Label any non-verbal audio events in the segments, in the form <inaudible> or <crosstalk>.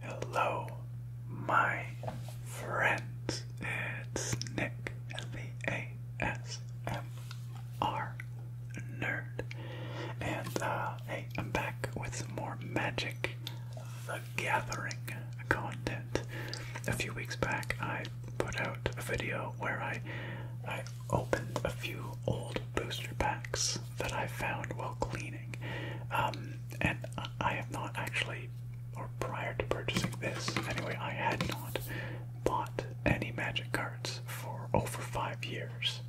Hello, my friends. It's Nick, the ASMR nerd, and uh, I'm back with some more Magic the Gathering content. A few weeks back, I put out a video where I, I opened a few old booster packs that I found while cleaning. Um, and I have not actually, or prior to purchasing this, anyway, I had not bought any Magic cards for over five years.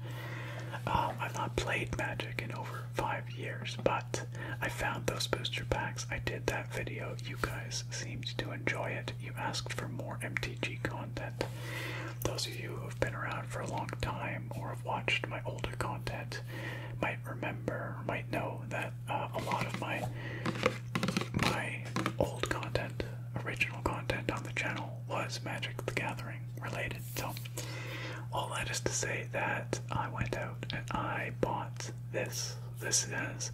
Um, I've not played Magic in over five years, but I found those booster packs. I did that video. You guys seemed to enjoy it. You asked for more MTG content. Those of you who have been around for a long time or have watched my older content might remember, might know that uh, a lot of my my old content, original content on the channel was Magic the Gathering related. So, all that is to say that I went out and I bought this. This is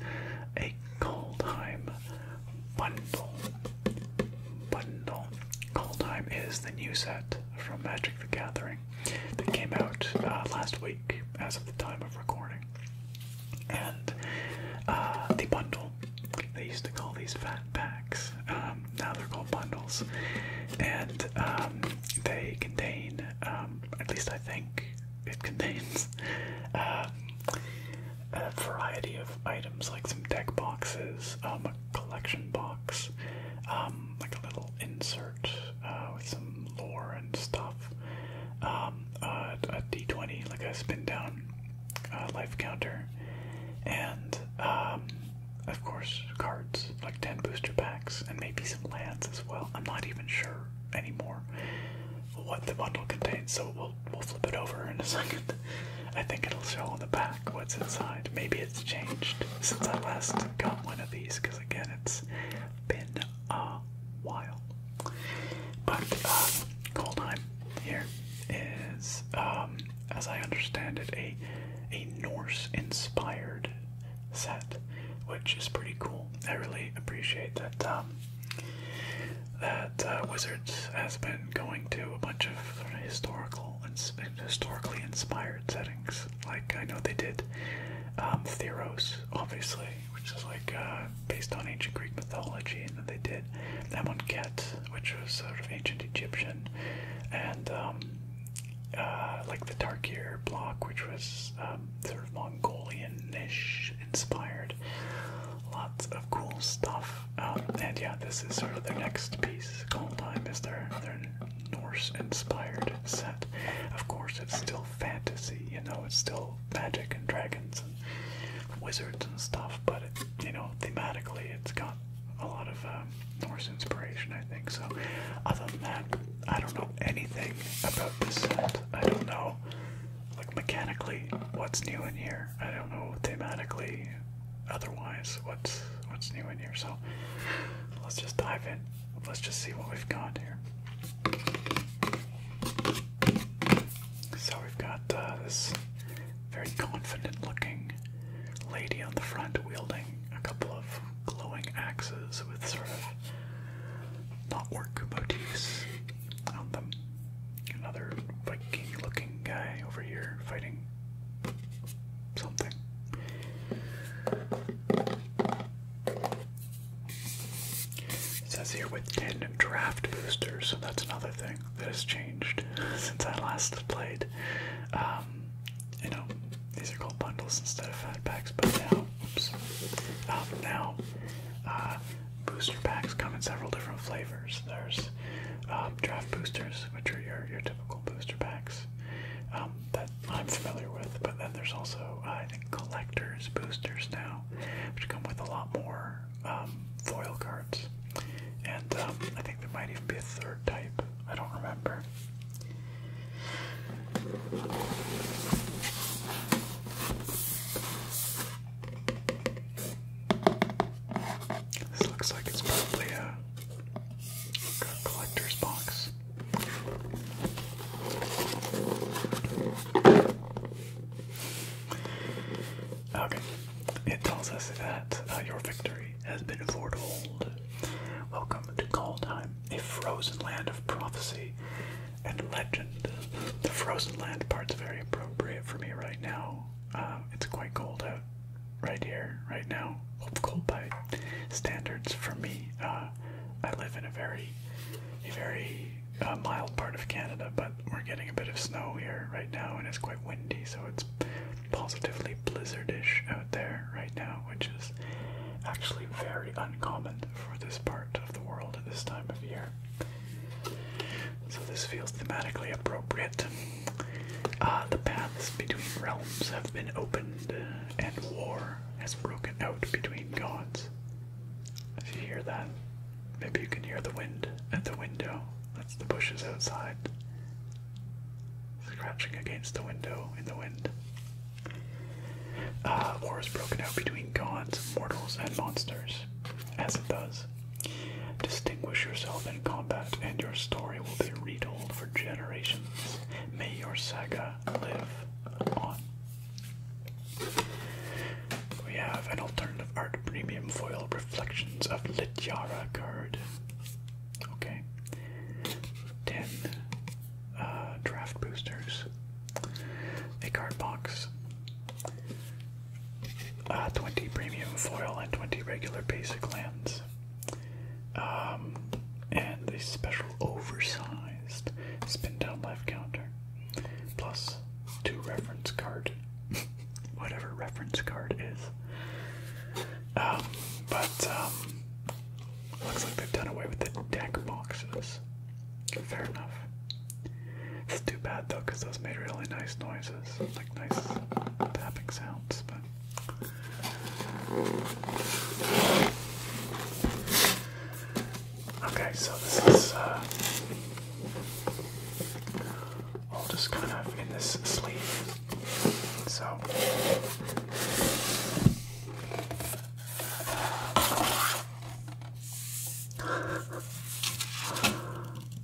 a Coldheim bundle. Bundle. Coldheim is the new set from Magic the Gathering that came out uh, last week as of the time of recording. And uh, the bundle, they used to call these packs. Um, now they're called bundles, and um, they contain, um, at least I think, it <laughs> contains a variety of items like some deck boxes, a collection box, like a little insert uh, with some lore and stuff, a d20, like a spin down uh, life counter, and of course, cards, like 10 booster packs, and maybe some lands as well. I'm not even sure anymore what the bundle contains, so we'll, we'll flip it over in a <laughs> second. I think it'll show on the back what's inside. Maybe it's changed since I last got one of these, because again, it's been a while. But, uh, cold time here is, um, as I understand it, a a Norse-inspired set, which is pretty cool. I really appreciate that. Um, that uh, Wizards has been going to a bunch of historical ins historically inspired settings. Like I know they did um, Theros, obviously, which is like uh, based on ancient Greek mythology, and then they did Amonkhet, which was sort of ancient Egyptian, and um, uh, like the Tarkir block, which was um, sort of Mongolian-ish inspired. Lots of cool stuff. Um, and yeah, this is sort of their next piece. Cold Time is their, their Norse-inspired set. Of course, it's still fantasy, you know, it's still magic and dragons and wizards and stuff, but, you know, thematically it's got a lot of um, Norse inspiration, I think. So, other than that, I don't know anything about this set. I don't know, like mechanically, what's new in here. I don't know thematically, otherwise, what's what's new in here. So, let's just dive in. Let's just see what we've got here. So we've got uh, this very confident looking lady on the front wielding a couple of glowing axes with sort of not work motifs on them. Another Viking looking guy over here fighting something. It says here with 10 draft boosters, so that's another thing that has changed <laughs> since I last played. Um, you know, these are called bundles instead of fat packs, but now, oops, um, now uh, booster packs come in several different flavors. There's um, draft boosters, which are your, your typical booster packs um, that I'm familiar with, but then there's also, uh, I think, collector's boosters now, which come with a lot more um, foil cards. And um, I think think there might even be a third type. I don't remember. This looks like it's probably a collector's box. Okay, it tells us that uh, your victory has been foretold. Welcome to Kaldheim, a frozen land of prophecy and legend. The frozen land part's very appropriate for me right now. Um, it's quite cold out right here, right now. Well, cold by standards for me. Uh, I live in a very, a very uh, mild part of Canada, but we're getting a bit of snow here right now, and it's quite windy, so it's positively blizzardish out there right now, which is actually very uncommon for this part of the world at this time of year. So this feels thematically appropriate. Uh, the paths between realms have been opened, uh, and war has broken out between gods. If you hear that, maybe you can hear the wind at the window. That's the bushes outside scratching against the window in the wind. Uh, war is broken out between gods, mortals, and monsters, as it does. Distinguish yourself in combat, and your story will be retold for generations. May your saga live on. We have an alternative art premium foil reflections of Lityara card. Okay. Ten uh, draft boosters. A card box. Uh, 20 premium foil and 20 regular basic lands. Um, and a special oversized spin down life counter. Plus two reference card. <laughs> Whatever reference card is. Um, but um, looks like they've done away with the deck boxes. Fair enough. It's too bad though, because those made really nice noises, like nice tapping sounds. But okay, so this is uh, all just kind of in this sleeve. So.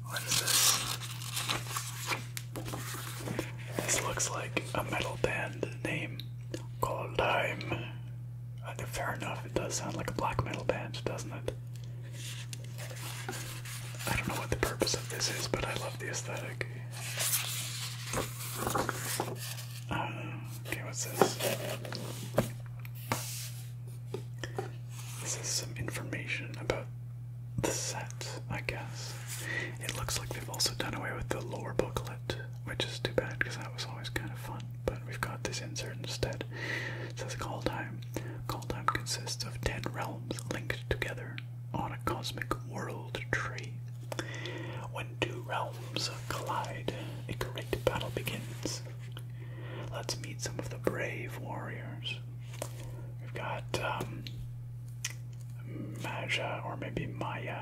what is this? This looks like a metal band name called Dime. Uh, fair enough, it does sound like a black metal band, doesn't it? I don't know what the purpose of this is, but I love the aesthetic. Uh, okay, what's this? This is some information about the set, I guess. It looks like they've also done away with the lore booklet, which is too bad because that was always kind of fun. But we've got this insert instead. It says call time. Call time consists of 10 realms linked together on a cosmic world tree. When two realms collide, a great battle begins. Let's meet some of the brave warriors. We've got um, Maja, or maybe Maya,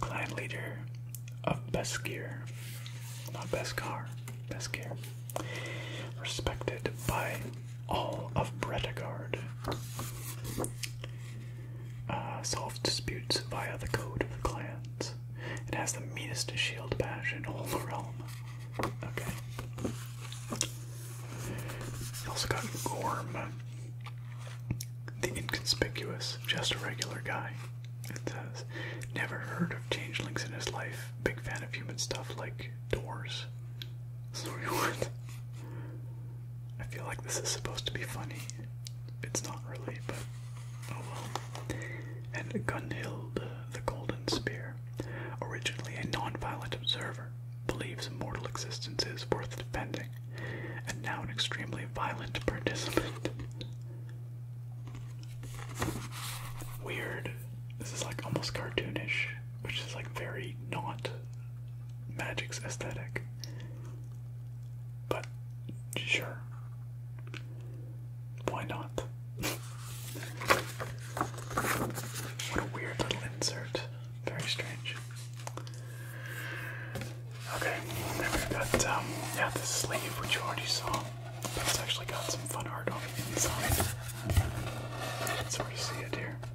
clan leader of Beskir, not Beskar, Beskir, respected by all of Bretagard. Uh, disputes via the code of the clans. It has the meanest shield bash in all the realm. Okay. You also got Gorm, the inconspicuous, just a regular guy. It says, never heard of changelings in his life. Big fan of human stuff like doors. Sorry, <laughs> I feel like this is supposed to be funny. It's not really, but oh well. And Gunhild, uh, the Golden Spear, originally a non-violent observer, believes mortal existence is worth defending, and now an extremely violent participant. Weird. This is like almost cartoonish which is like very not Magic's aesthetic. But sure. Why not? <laughs> what a weird little insert. Very strange. Okay, then we've got um, the sleeve which you already saw. it's actually got some fun art on the inside. You can sort of see it here.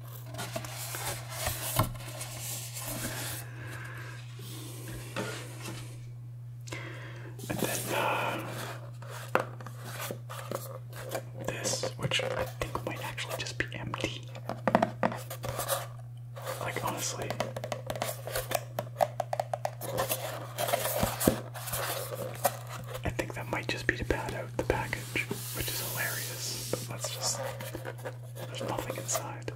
And then uh, this, which I think might actually just be empty. Like, honestly. I think that might just be to pad out the package which is hilarious, but let's just. There's nothing inside.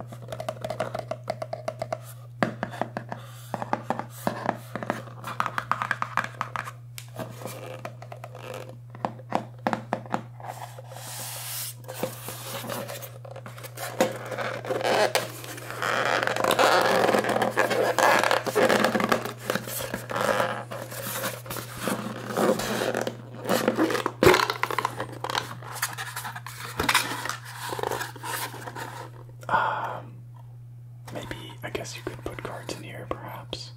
Um, maybe I guess you could put cards in here, perhaps.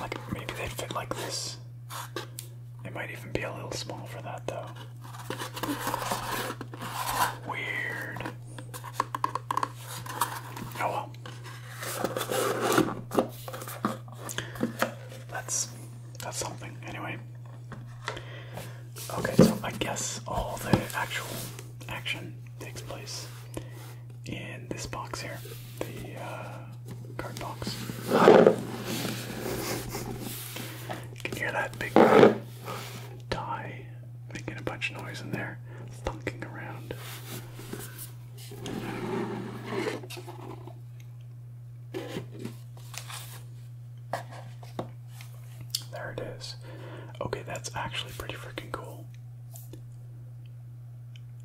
Like maybe they'd fit like this. It might even be a little small for that, though. Weird. Oh well. That's that's something anyway. Okay, so I guess all the actual action takes place in this box here, the uh, card box. can hear that big die making a bunch of noise in there, thunking around. There it is. Okay, that's actually pretty freaking cool.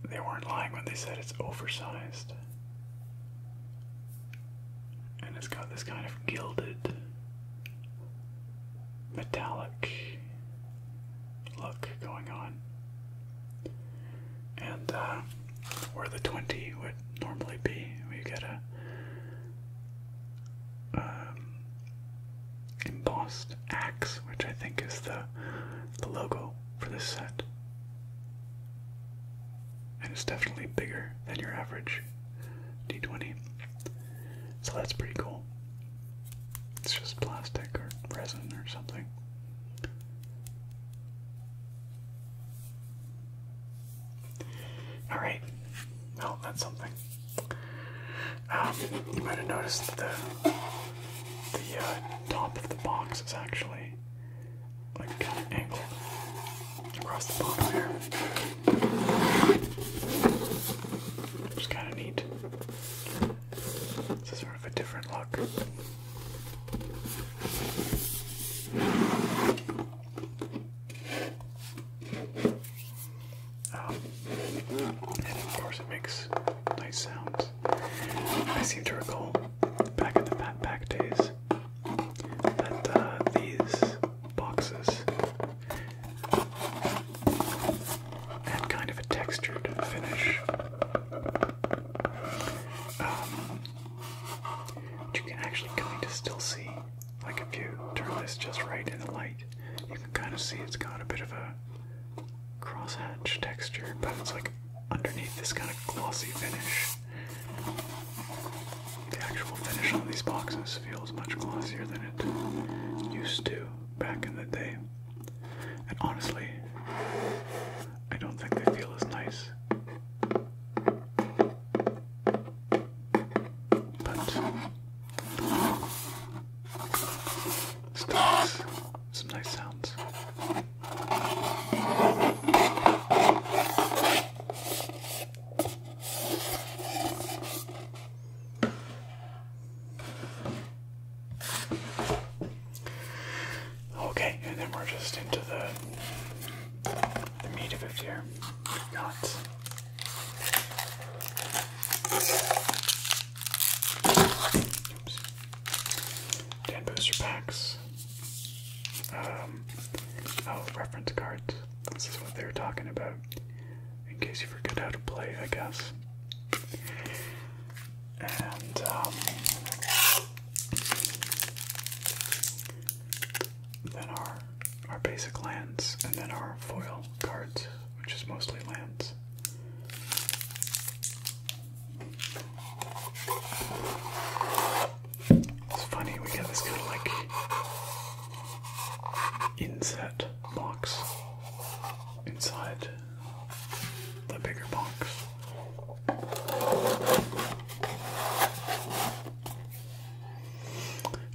They weren't lying when they said it's oversized. And it's got this kind of gilded metallic look going on. And uh, where the 20 would normally be, we get a um, embossed axe, which I think is the, the logo for this set. And it's definitely bigger than your average D20. So that's pretty cool. It's just plastic or resin or something. Alright. Well, that's something. Um, you might have noticed the the uh, top of the box is actually like angled across the bottom here. It's kind of neat of a different look. Oh. and of course, it makes nice sounds. I seem to recall back in the backpack days that uh, these boxes that kind of a textured finish. Um, you can actually kind of still see, like if you turn this just right in the light, you can kind of see it's got a bit of a crosshatch texture, but it's like underneath this kind of glossy finish. The actual finish on these boxes feels much glossier than it used to back in the day. And honestly, I don't think they feel as nice. But stocks, some nice sounds. Okay, and then we're just into the, the meat of it here. Nuts. Oops. Ten booster packs. Um, oh, reference cards. This is what they were talking about. In case you forget how to play, I guess and um, then our our basic lands, and then our foil cards, which is mostly lands. It's funny we get this kind of like inset box inside the bigger box.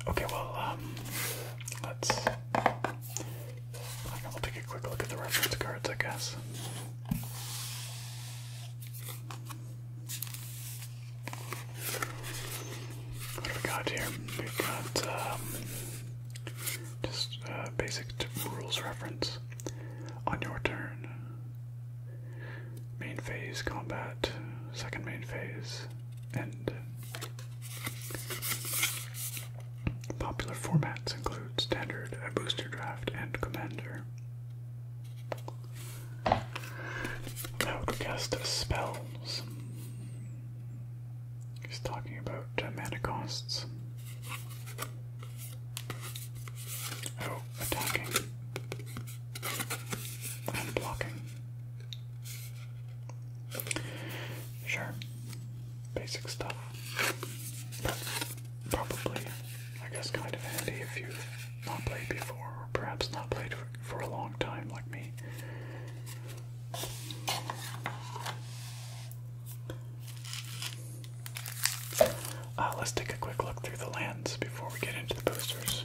Okay, well, um, let's. I will take a quick look at the reference cards, I guess. What do we got here? We've got um, just uh, basic rules reference. On your turn. Main phase combat, second main phase, end. Uh, popular formats include standard, booster draft, and commander. Now spells. He's talking about uh, mana costs. Oh, attacking. And blocking. Sure. Basic stuff. But probably, I guess, kind of handy if you've not played before, or perhaps not played for a long time like me. Uh, let's take a quick look through the lens before we get into the posters.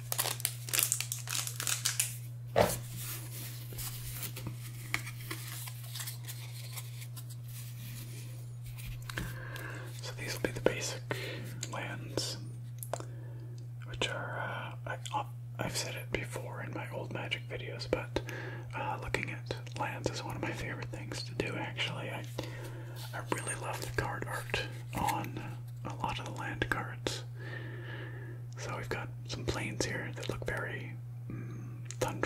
So these will be the basic lands, which are, uh, I, have uh, said it before in my old magic videos, but uh, looking at lands is one of my favorite things to do actually. I, I really love the card art on a lot of the land cards. So we've got some plains here that look very mm,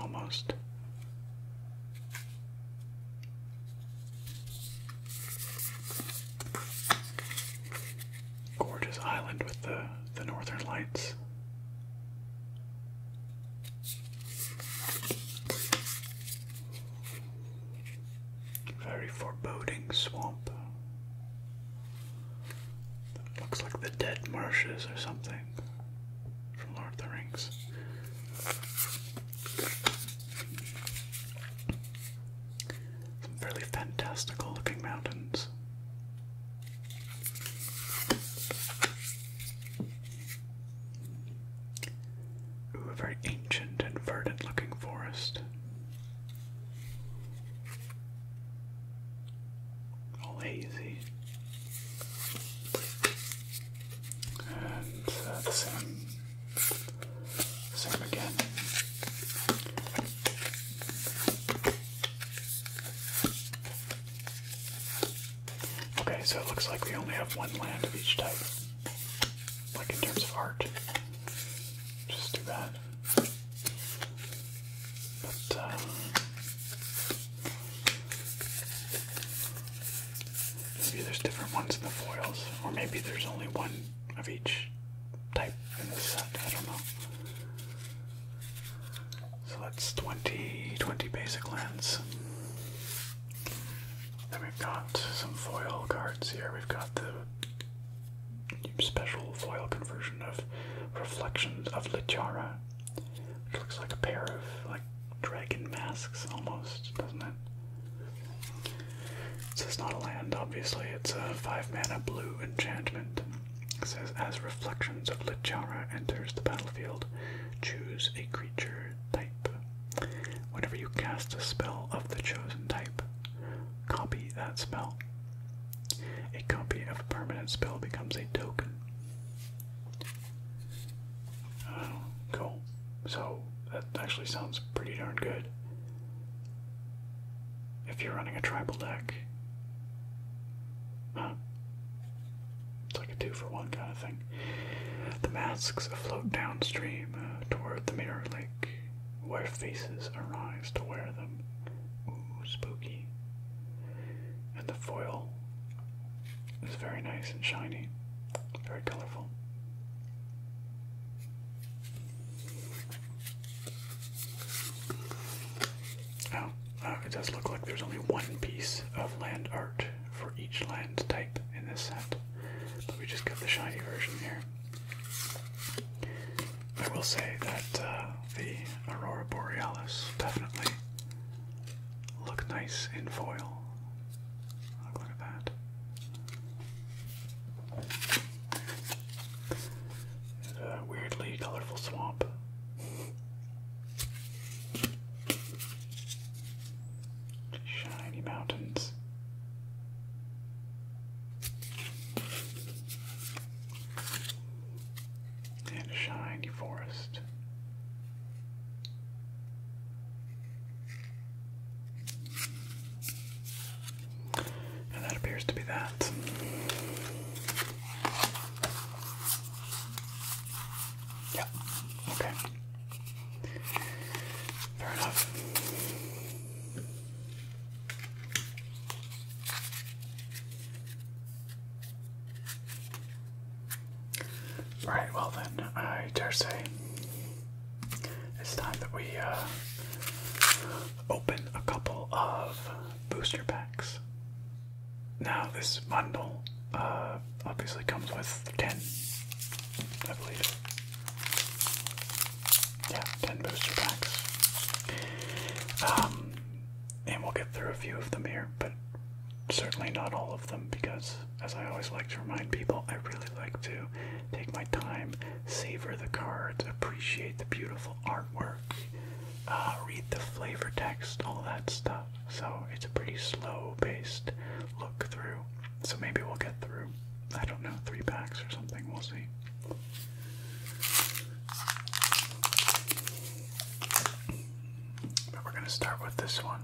almost. Gorgeous island with the the northern lights. Very foreboding swamp. That looks like the dead marshes or something from Lord of the Rings. Some fairly fantastical looking mountains. Ooh, a very ancient and verdant looking forest hazy. And uh, same, same again. Okay, so it looks like we only have one land of each type like in terms of art. Just too bad. But uh, maybe there's different ones in the foils, or maybe there's only one of each type in this set. I don't know. So that's 20, basic lands. Then we've got some foil cards here. We've got the special foil conversion of Reflections of Lichara, which looks like a pair of like dragon masks almost, doesn't it? So it's not a land, obviously. It's a five mana blue enchantment. It says as Reflections of Lichara enters the battlefield, choose a creature type. Whenever you cast a spell of the chosen type, copy that spell. A copy of a permanent spell becomes a token. Oh, cool. So, that actually sounds pretty darn good. If you're running a tribal deck. Huh. It's like a two for one kind of thing. The masks float downstream uh, toward the mirror lake where faces arise to wear them. Ooh, spooky. And the foil is very nice and shiny, very colorful. Oh, uh, it does look like there's only one piece of land art for each land type in this set, but we just got the shiny version here. I will say that uh, the Aurora Borealis definitely look nice in foil. Look, at that. a weirdly colorful swamp. Shiny mountains and shiny forest. And that appears to be that. Yeah, okay. Fair enough. Right, well then, I dare say it's time that we uh, open a couple of booster packs. Now, this bundle uh, obviously comes with 10, I believe yeah, 10 booster packs. Um, and we'll get through a few of them here, but certainly not all of them because, as I always like to remind people, I really like to take my time, savor the cards, appreciate the beautiful artwork, uh, read the flavor text, all that stuff. So it's a pretty slow paced look through. So maybe we'll get through, I don't know, three packs or something. We'll see. But we're going to start with this one.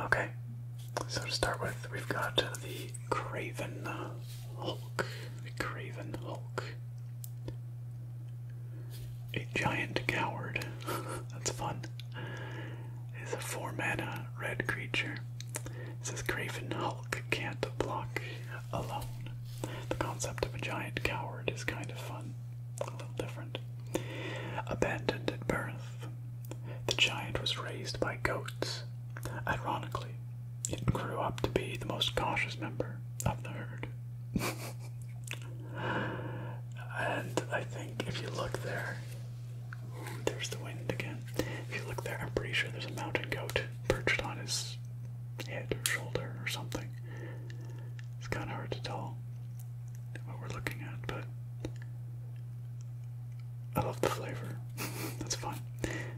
Okay, so to start with, we've got the Craven Hulk. The Craven Hulk. A giant coward. <laughs> That's fun is a 4 mana red creature. It says Craven Hulk can't block alone. The concept of a giant coward is kind of fun, a little different. Abandoned at birth, the giant was raised by goats. Ironically, it grew up to be the most cautious member of the herd. <laughs> And I think if you look there, there's the wind again. If you look there, I'm pretty sure there's a mountain goat perched on his head or shoulder or something. It's kind of hard to tell what we're looking at, but I love the flavor. <laughs> That's fun.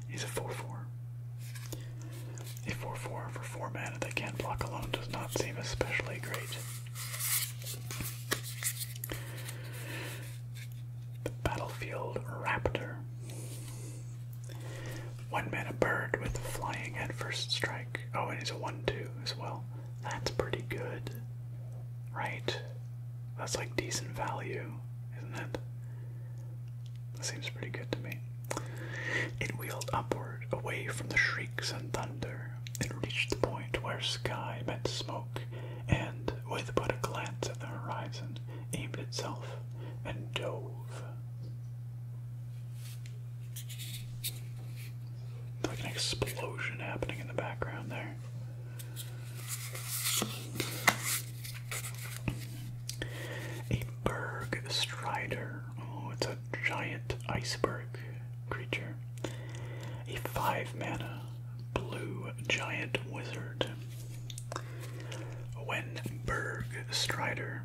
He's a 4 4. A 4 4 for 4 mana that can't block alone does not seem especially great. The battlefield raptor. One man a bird with flying at strike. Oh, and he's a 1 2 as well. That's pretty good. Right? That's like decent value, isn't it? That seems pretty good to me. It wheeled upward away from the shrieks and thunder, it reached the point where sky met smoke, and, with but a glance at the horizon, aimed itself and dove. Like an explosion happening in the background there. A Berg Oh, it's a giant iceberg creature, a five mana blue giant wizard. When Berg Strider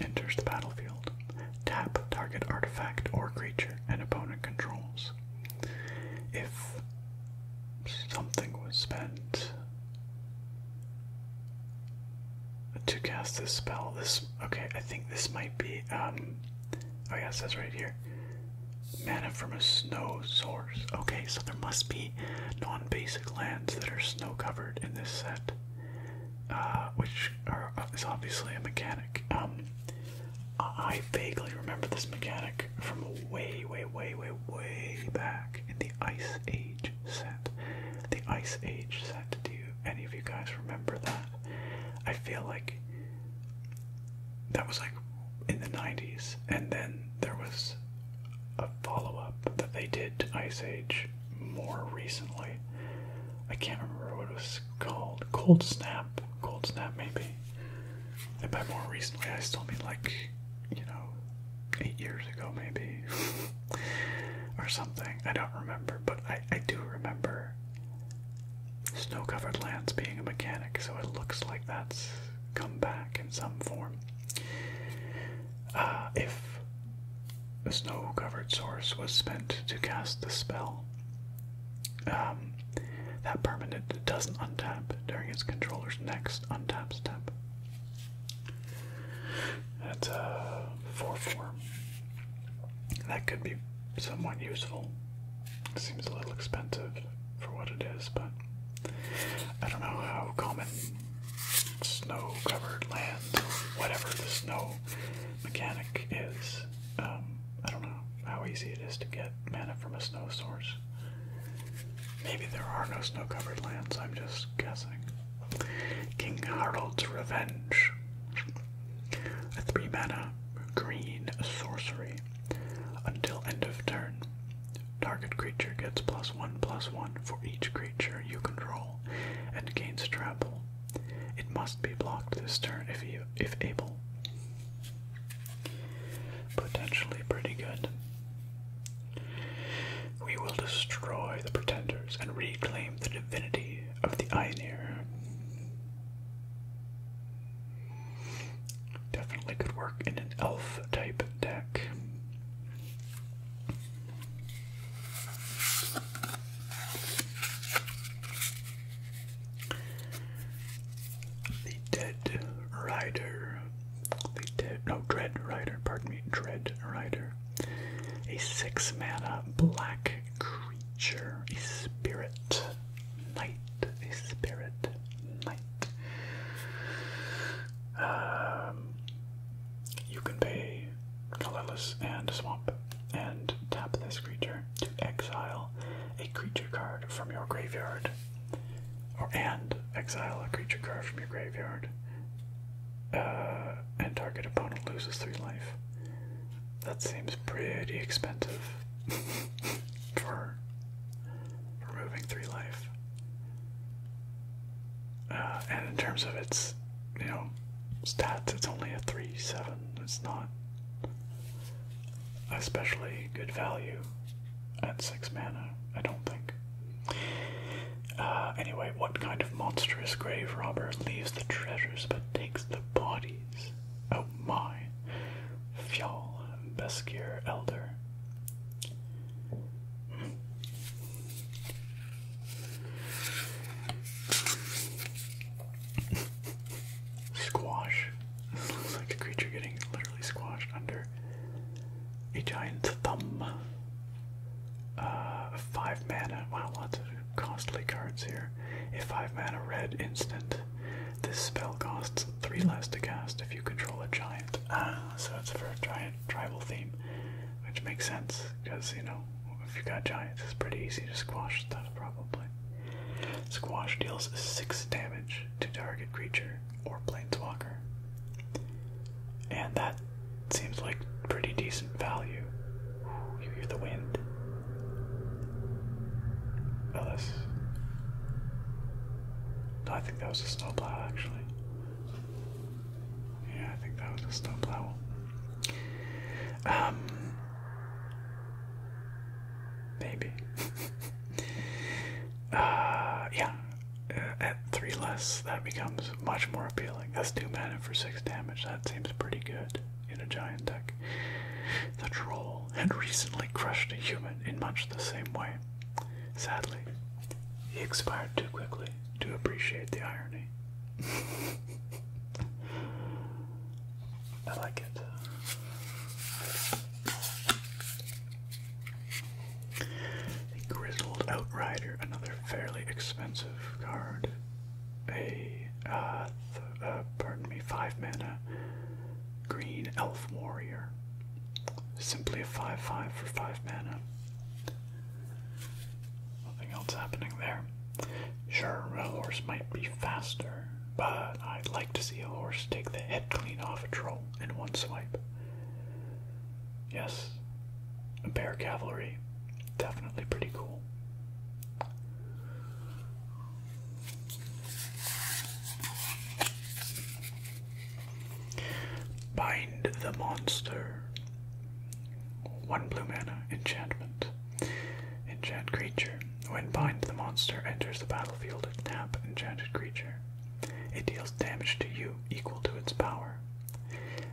enters the battlefield, tap target artifact or creature an opponent controls. If something was spent to cast this spell, this okay, I think this might be um Oh yeah, it says right here. Mana from a snow source. Okay, so there must be non-basic lands that are snow-covered in this set, uh, which uh, is obviously a mechanic. Um, I vaguely remember this mechanic from way, way, way, way, way back in the Ice Age set. The Ice Age set. Do you, any of you guys remember that? I feel like that was like in the 90s, and then there was a follow up that they did to Ice Age more recently. I can't remember what it was called. Cold Snap. Cold Snap, maybe. And by more recently, I still mean like, you know, eight years ago, maybe, <laughs> or something. I don't remember, but I, I do remember Snow covered lands being a mechanic, so it looks like that's come back in some form. Uh, if the snow covered source was spent to cast the spell, um, that permanent doesn't untap during its controller's next untap step. That's a uh, 4 4 That could be somewhat useful. seems a little expensive for what it is, but I don't know how common snow covered land, whatever the snow mechanic is. Um, I don't know how easy it is to get mana from a snow source. Maybe there are no snow covered lands, I'm just guessing. King Harold's Revenge. A 3 mana green sorcery. Until end of turn, target creature gets plus 1 plus 1 for each creature you control and gains trample. It must be blocked this turn if if able. Potentially pretty good. We will destroy the pretenders and reclaim the divinity of the Ainir. Definitely could work in an elf type deck. The Dead Rider. The Dead. No, Dread Rider, pardon me. Dread Rider. A six mana black creature, a spirit knight, a spirit knight. Um, you can pay colorless and swamp and tap this creature to exile a creature card from your graveyard. Or and exile a creature card from your graveyard. Uh, and target opponent loses three life. That seems pretty expensive <laughs> for removing three life. Uh, and in terms of its, you know, stats, it's only a three seven. It's not especially good value at six mana, I don't think. Uh, anyway, what kind of monstrous grave robber leaves the treasures but takes the bodies? Oh my. Fjall Beskir Elder. Squash. This looks like a creature getting literally squashed under a giant thumb. Uh, five mana. Wow, lots of costly cards here. If A 5 mana red instant. This spell costs 3 less to cast if you control a giant. Ah, so it's for a giant tribal theme, which makes sense, because, you know, if you got giants, it's pretty easy to squash stuff, probably. Squash deals 6 damage to target creature or planeswalker. And that seems like pretty decent value you hear the wind. Ellis. I think that was a snowplow, actually. Yeah, I think that was a snowplow. Um, maybe. <laughs> uh, yeah. Uh, at three less, that becomes much more appealing. That's two mana for six damage. That seems pretty good in a giant deck. The troll had recently crushed a human in much the same way. Sadly, he expired too quickly to appreciate the irony. <laughs> I like it. The Grizzled Outrider, another fairly expensive card a, uh, uh, pardon me, 5 mana green elf warrior. Simply a 5 5 for 5 mana. Nothing else happening there. Sure, a horse might be faster, but I'd like to see a horse take the head clean off a troll in one swipe. Yes, a bear cavalry. Definitely pretty cool. Bind the monster. One blue mana enchantment. Enchant creature. When bind the monster enters the battlefield, tap enchanted creature. It deals damage to you equal to its power.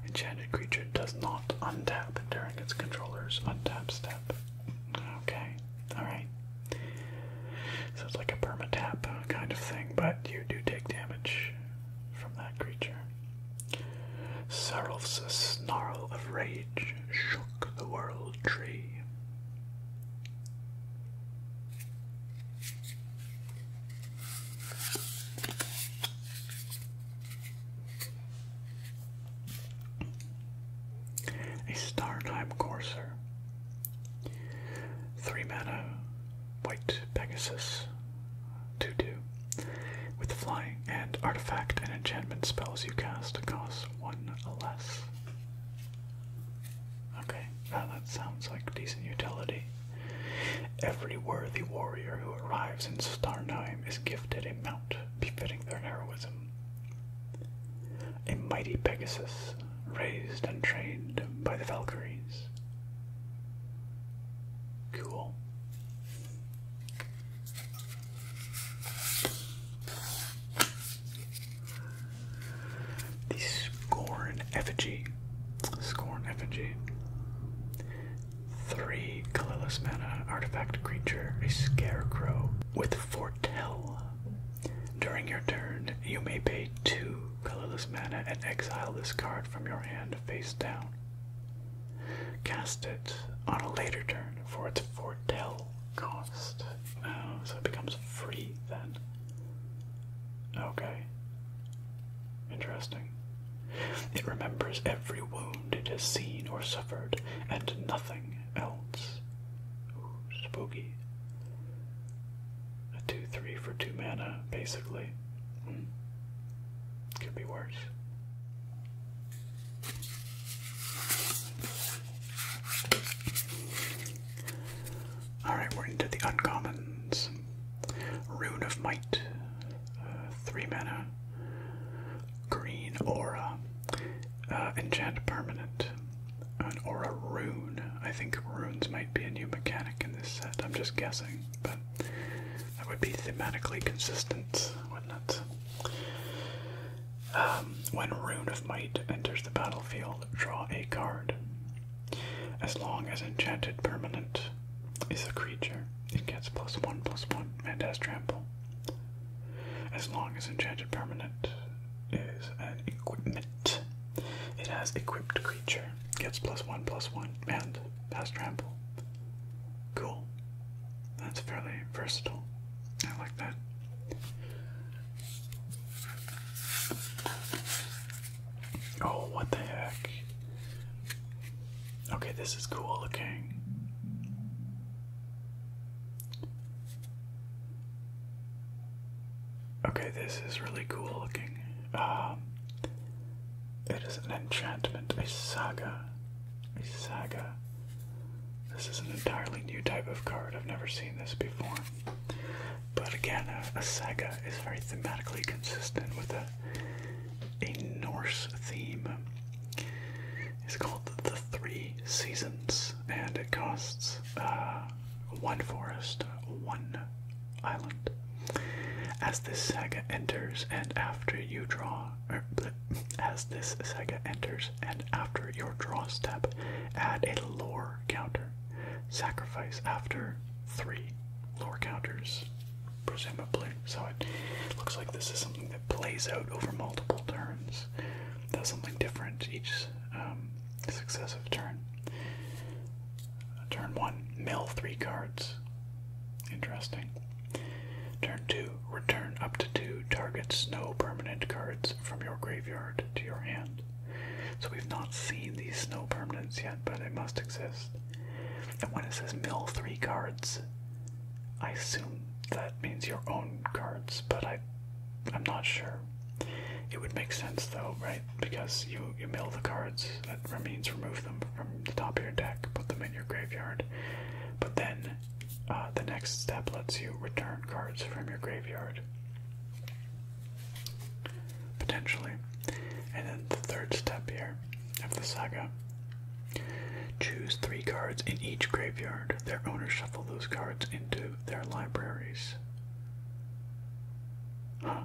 Enchanted creature does not untap during its controller's untap step. Okay, alright. So it's like a permatap kind of thing, but you do take damage from that creature. Sarulf's snarl of rage shook the world tree a Startime Courser, three mana, white Pegasus, two two, with flying and artifact and enchantment spells you cast cost one less. Okay, now that sounds like decent utility. Every worthy warrior who arrives in Starnheim is gifted a mount befitting their heroism a mighty Pegasus raised and trained by the Valkyries. Cool. The Scorn effigy. Scorn effigy. Three a colorless mana artifact creature, a scarecrow, with foretell. During your turn, you may pay two colorless mana and exile this card from your hand face down. Cast it on a later turn for its foretell cost. Oh, so it becomes free then. Okay. Interesting. It remembers every wound it has seen or suffered, and nothing else. Ooh, spooky. A 2 3 for 2 mana, basically. Hmm. Could be worse. Alright, we're into the uncommons. Rune of Might, uh, 3 mana. Green Aura. Uh, enchant permanent. or a rune. I think runes might be a new mechanic in this set. I'm just guessing, but that would be thematically consistent, wouldn't it? Um, when Rune of Might enters the battlefield, draw a card. As long as enchanted permanent is a creature, it gets plus one plus one and has trample. As long as Enchanted Permanent is an equipment, it has equipped creature, gets plus one plus one, and has trample. Cool. That's fairly versatile. I like that. Oh, what the heck? Okay, this is cool Okay. Okay, this is really cool looking. Um, it is an enchantment, a saga. A saga. This is an entirely new type of card. I've never seen this before. But again, a, a saga is very thematically consistent with a, a Norse theme. It's called The Three Seasons, and it costs uh, one forest, one island. As this saga enters, and after you draw, er, as this saga enters, and after your draw step, add a lore counter. Sacrifice after three lore counters, presumably. So it looks like this is something plays out over multiple turns. Does something different each um, successive turn. Turn 1, mill 3 cards. Interesting. Turn 2, return up to 2 targets no permanent cards from your graveyard to your hand. So we've not seen these snow permanents yet, but they must exist. And when it says mill 3 cards, I assume that means your own cards, but I, I'm not sure. It would make sense though, right? Because you you mill the cards. That means remove them from the top of your deck, put them in your graveyard. But then, uh, the next step lets you return cards from your graveyard, potentially. And then the third step here of the saga Choose three cards in each graveyard. Their owners shuffle those cards into their libraries. Huh.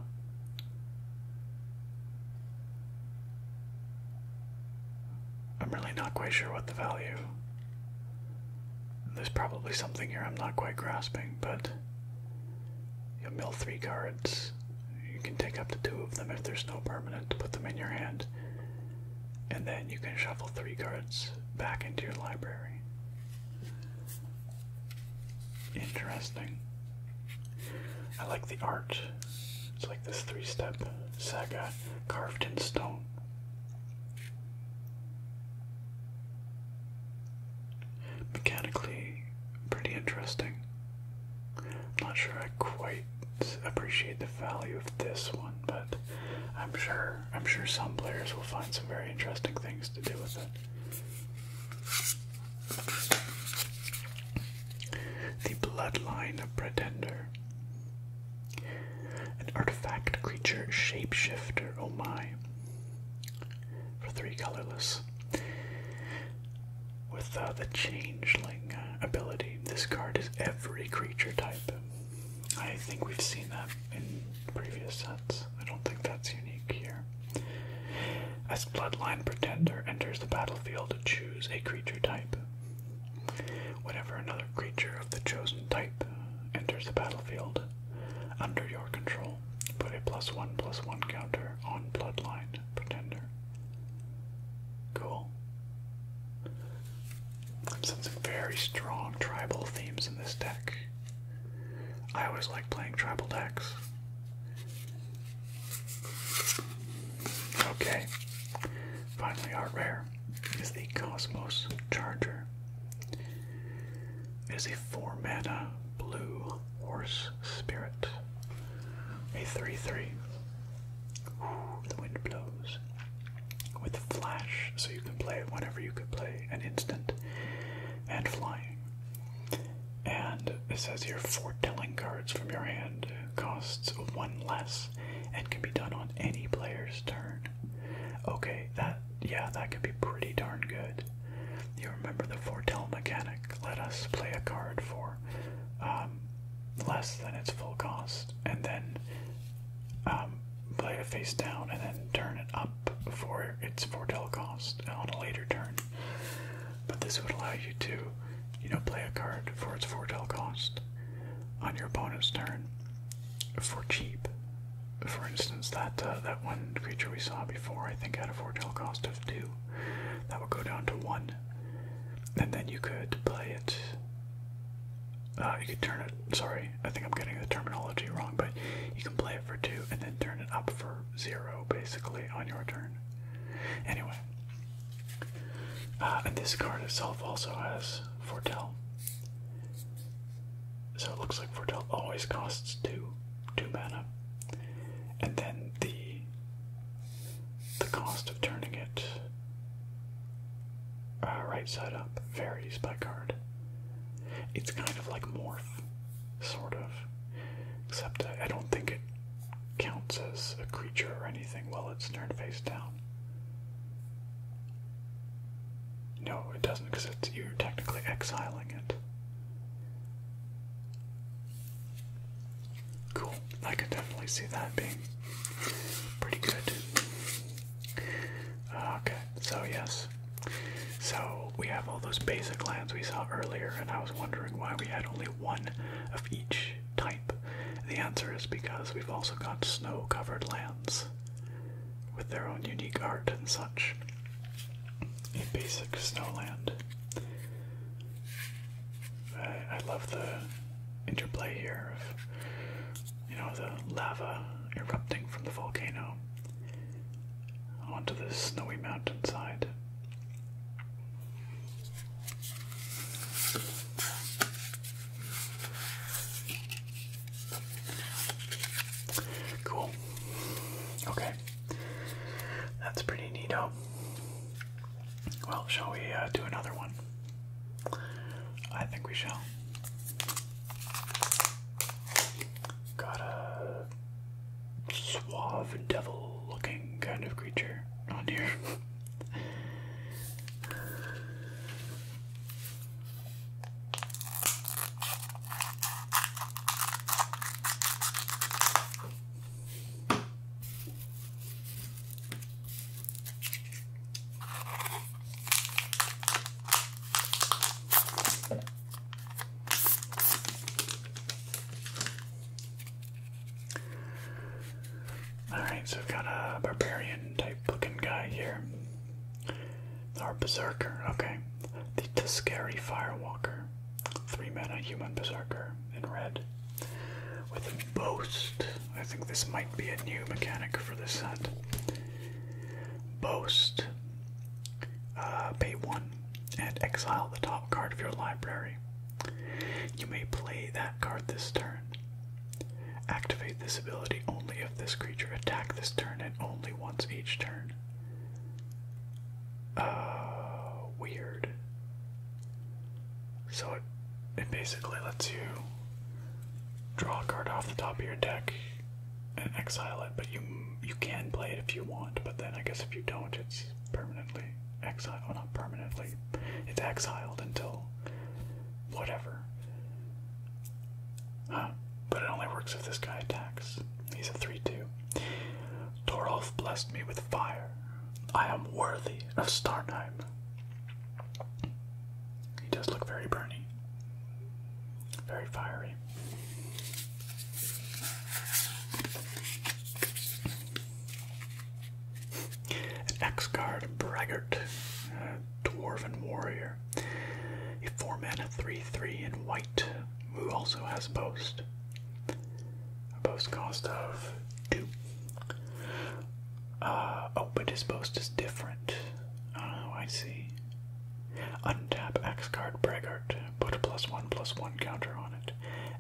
I'm really not quite sure what the value. There's probably something here I'm not quite grasping, but you mill three cards. You can take up to two of them if there's no permanent to put them in your hand and then you can shuffle three cards back into your library. Interesting. I like the art. It's like this three step saga carved in stone. Mechanically, pretty interesting. I'm not sure I quite appreciate the value of this one, but I'm sure I'm sure some players will find some very interesting things to do with it. The Bloodline Pretender. An artifact creature shapeshifter, oh my. For three colorless. With uh, the changeling uh, ability, this card is every creature type I think we've seen that in previous sets. I don't think that's unique here. As Bloodline Pretender enters the battlefield, choose a creature type. Whenever another creature of the chosen type enters the battlefield under your control, put a plus one plus one counter on Bloodline Pretender. Cool. Some very strong tribal themes in this deck. I always like playing tribal decks. Okay, finally, our rare is the Cosmos Charger. It is a 4 mana blue horse spirit, a 3 3 the wind blows. With flash, so you can play it whenever you could play an instant. And flying. And it says here foretelling cards from your hand costs one less and can be done on any player's turn. Okay, that yeah, that could be pretty darn good. You remember the foretell mechanic. Let us play a card for um, less than its full cost, and then um, play it face down and then turn it up for its foretell cost on a later turn. But this would allow you to, you know, play a card for its foretell cost on your opponent's turn for cheap. For instance, that uh, that one creature we saw before, I think, had a foretell cost of two. That would go down to one, and then you could play it uh, you can turn it. Sorry, I think I'm getting the terminology wrong, but you can play it for two and then turn it up for zero, basically, on your turn. Anyway, uh, and this card itself also has Fortell, so it looks like Fortell always costs two, two mana, and then the the cost of turning it uh, right side up varies by card. It's kind of like morph, sort of, except I don't think it counts as a creature or anything while it's turned face down. No, it doesn't, because it's you're technically exiling it. Cool. I could definitely see that being pretty good. Uh, okay, so yes. So we have all those basic lands we saw earlier, and I was wondering why we had only one of each type. The answer is because we've also got snow covered lands with their own unique art and such. A basic snow land. I love the interplay here of you know the lava erupting from the volcano onto the snowy mountainside. Cool. Okay. That's pretty neato. Well, shall we uh, do another one? I think we shall. Got a suave devil looking kind of creature on here. Alright, so we've got a barbarian type looking guy here. Our berserker, okay. The Tuscari Firewalker. Three mana human berserker in red with a boast. I think this might be a new mechanic for this set. Boast. Uh, pay one and exile the top card of your library. You may play that card this turn. Activate this ability only if this creature attack this turn and only once each turn. Uh, weird. So it basically lets you draw a card off the top of your deck and exile it, but you you can play it if you want, but then I guess if you don't, it's permanently exiled. Well, not permanently. It's exiled until whatever. But it only works if this guy attacks. He's a 3 2. Torolf blessed me with fire. I am worthy of Starnheim. He does look very burning, very fiery. An ex-guard braggart, a dwarven warrior, a four-man, of three-three in white, who also has a post. A post cost of two. Uh, oh, but his post is different. Oh, I see. Untap X Card Braggart. Put a plus one plus one counter on it.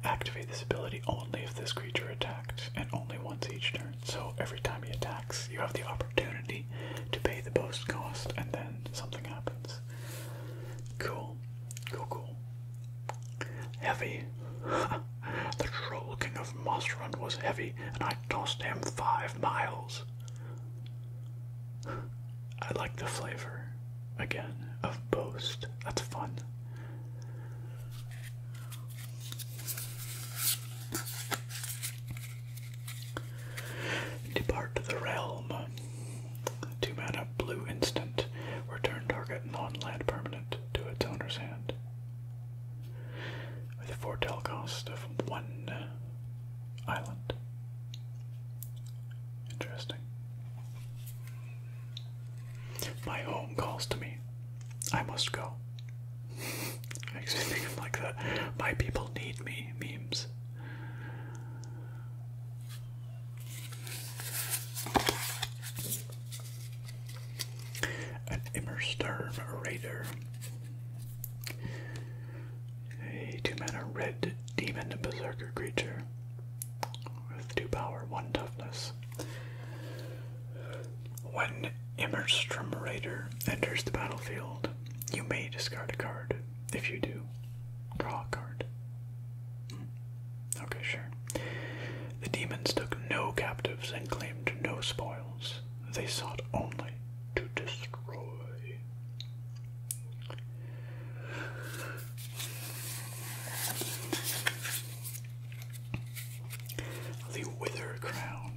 Activate this ability only if this creature attacked, and only once each turn. So every time he attacks, you have the opportunity to pay the post cost, and then something happens. Cool. Cool, cool. Heavy. <laughs> The troll king of Mosrun was heavy, and I tossed him five miles. I like the flavor, again, of boast. That's fun. Depart the realm. Two mana blue instant. Return target non permanent to its owner's hand with a foretell cost of one uh, island. Interesting. My home calls to me. I must go. <laughs> Makes me think of like the my people need me memes an Immersturm Raider, a two mana red demon berserker creature with two power, one toughness. When Immerstrom Raider enters the battlefield, you may discard a card. If you do, draw a card. Hmm. Okay, sure. The demons took no captives and claimed no spoil they sought only to destroy. The Wither Crown.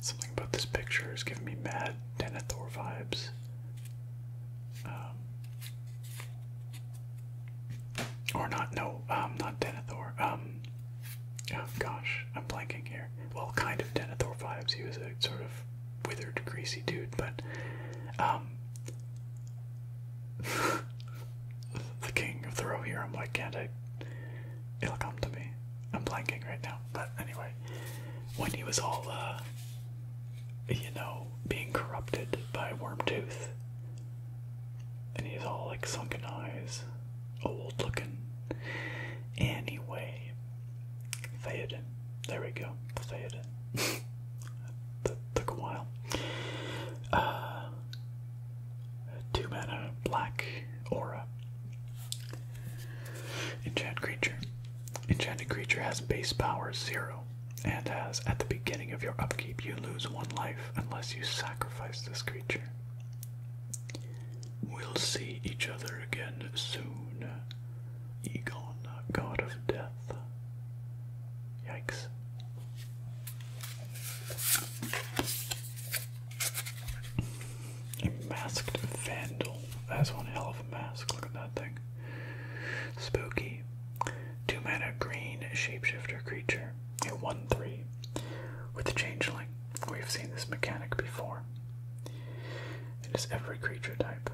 Something about this picture is giving me mad Denethor vibes. Um, or not, no, um, not Denethor. Um, Oh gosh, I'm blanking here. Well, kind of Denethor vibes. He was a sort of withered, greasy dude, but um, <laughs> the king of the Rohirrim. here. I'm like, can't like can not i it will come to me. I'm blanking right now, but anyway, when he was all, uh, you know, being corrupted by Wormtooth, and he's all like sunken eyes, old looking. Anyway, Theoden. There we go, Theoden. <laughs> that took a while. Uh, two mana, black aura. enchanted creature. Enchanted creature has base power zero, and has at the beginning of your upkeep, you lose one life unless you sacrifice this creature. We'll see each other again soon. Egon, god of death. Yikes. A masked vandal. That's one hell of a mask. Look at that thing. Spooky. Two mana green shapeshifter creature a 1-3 with the changeling. We've seen this mechanic before. It is every creature type.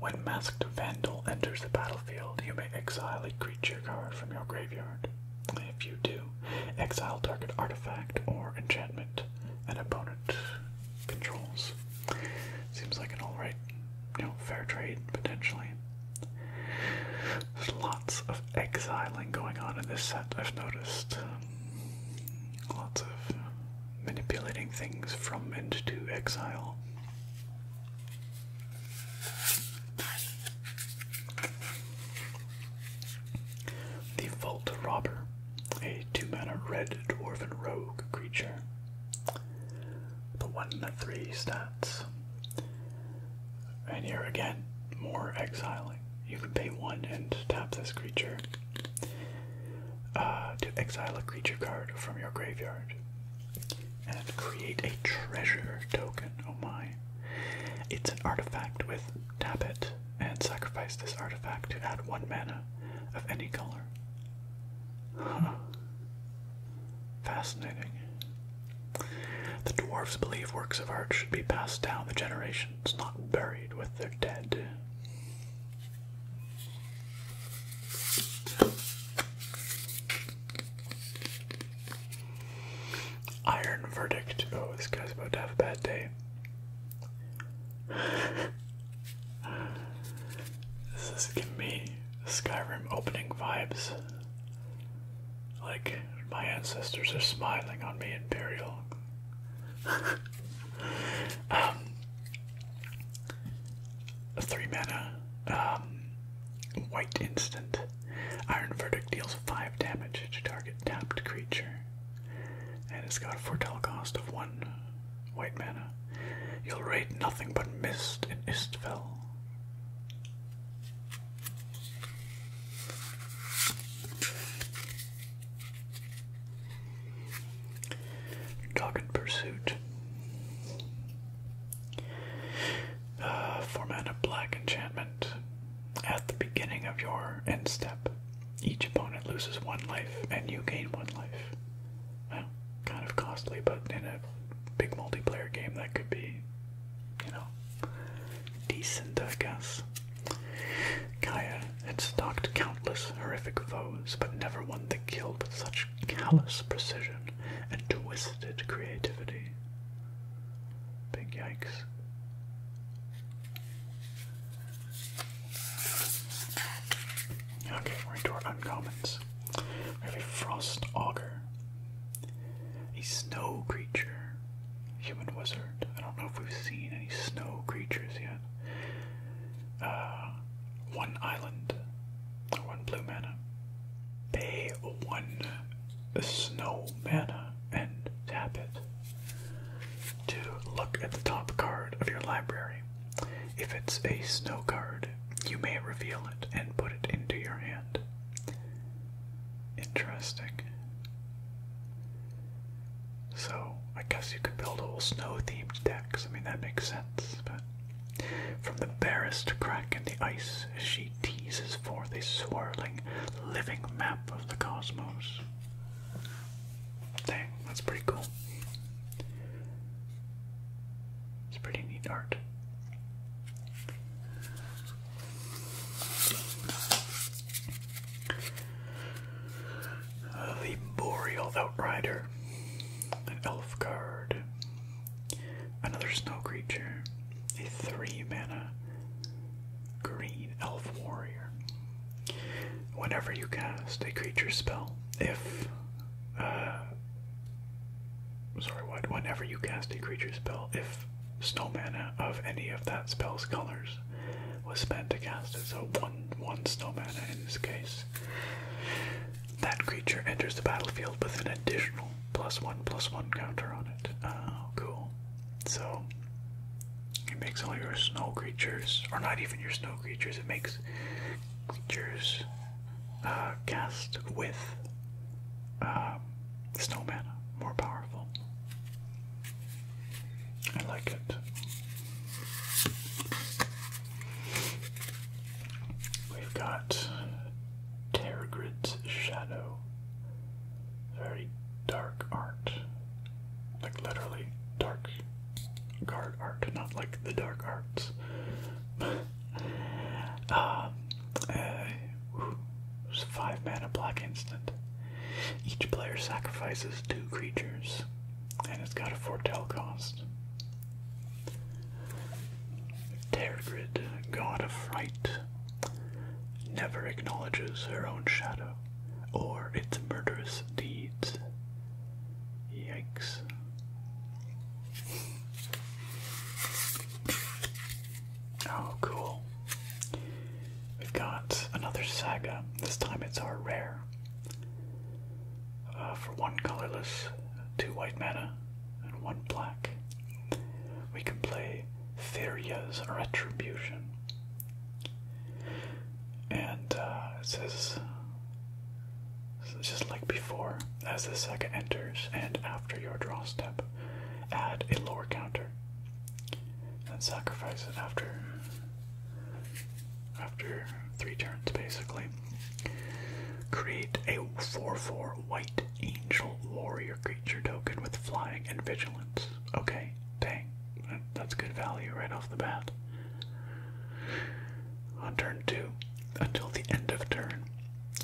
When Masked Vandal enters the battlefield, you may exile a creature card from your graveyard. If you do, exile target artifact or enchantment an opponent controls. Seems like an alright, you know, fair trade, potentially. There's lots of exiling going on in this set, I've noticed. lots of manipulating things from and to exile. The Vault Robber, a two mana red dwarven rogue creature. The 1 3 stats. And here again, more exiling. You can pay one and tap this creature uh, to exile a creature card from your graveyard and create a treasure token. Oh my. It's an artifact with tap it and sacrifice this artifact to add one mana of any color. Huh. Fascinating. The dwarves believe works of art should be passed down the generations, not buried with their dead. Iron verdict. Oh, this guy's about to have a bad day. this is giving me Skyrim opening vibes. Like, my ancestors are smiling on me, Imperial. <laughs> um, three mana, um, white instant. Iron Verdict deals 5 damage to target tapped creature. And it's got a foretell cost of 1 white mana. You'll raid nothing but mist in Istfell. Dogged Pursuit. Uh, format a black enchantment. At the beginning of your end step, each opponent loses one life and you gain one life. kind of costly, but in a big multiplayer game, that could be you know, decent, I guess. Kaya had stalked countless horrific foes, but never one that killed with such callous precision and twisted creativity. Big yikes. Okay, we're our uncommons. We Frost Auger. A snow creature. Human wizard. I don't know if we've seen any snow creatures yet. Uh, one island. One blue mana. Pay one snow mana and tap it to look at the top card of your library. If it's a snow card, you may reveal it and put it into your hand. Interesting. So, I guess you could build a whole snow themed decks. I mean, that makes sense, but. From the barest crack in the ice she teases forth a swirling, living map of the cosmos. Dang, that's pretty cool. It's pretty neat art the Boreal Outrider, an Elf Guard, another Snow Creature, a 3 mana Green Elf Warrior. Whenever you cast a creature spell, if. Uh, sorry, what? Whenever you cast a creature spell, if snow of any of that spell's colors was spent to cast it, so one one snow in this case. That creature enters the battlefield with an additional plus one plus one counter on it. Oh, cool. So it makes all your snow creatures, or not even your snow creatures, it makes creatures uh, cast with uh, snow mana, more powerful. I like it. We've got Tergrid's Shadow. Very dark art. Like literally dark guard art, not like the dark arts. <laughs> um, eh, Ooh, a five mana black instant. Each player sacrifices two creatures, and it's got a foretell cost. Tergrid, god of fright, never acknowledges her own shadow or its murderous deeds. Yikes. Oh, cool. We've got another Saga. This time it's our rare. Uh, for one colorless, two white mana, and one black. We can play Theria's Retribution. And uh, it says, just like before, as the Saga enters and after your draw step, add a lore counter and sacrifice it after after three turns basically. Create a 4-4 white angel warrior creature token with flying and vigilance. Okay, dang. That's good value right off the bat. On turn 2, until the end of turn,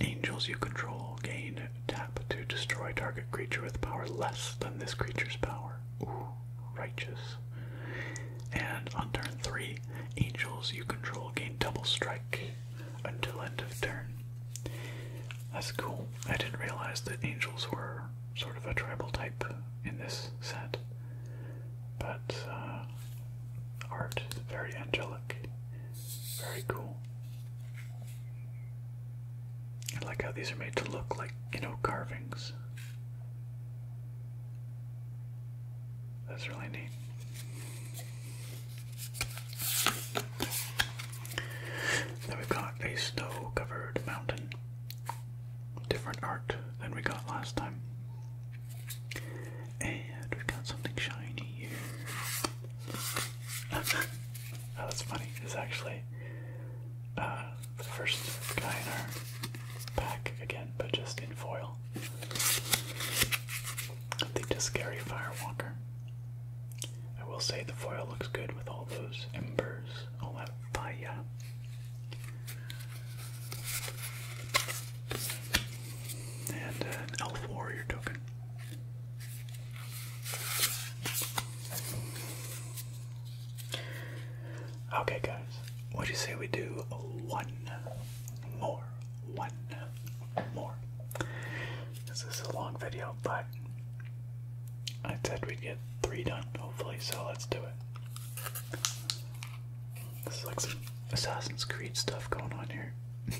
angels you control gain Tap to destroy target creature with power less than this creature's power. Ooh, righteous. And on turn 3, angels you control gain double strike until end of turn. That's cool. I didn't realize that angels were sort of a tribal type in this set. But uh, art very angelic. Very cool. I like how these are made to look like, you know, carvings. That's really neat. Then we've got a snow covered mountain. Different art than we got last time. And we've got something shiny here. <laughs> Oh, that's funny, because actually, uh, the first guy in our pack again, but just in foil. The Discary Firewalker. I will say the foil looks good with all those embers, all oh, that fire. And uh, an Elf Warrior token. Okay, guys, what do you say we do one more? One more. This is a long video, but I said we get three done, hopefully, so let's do it. This is like some Assassin's Creed stuff going on here. <laughs>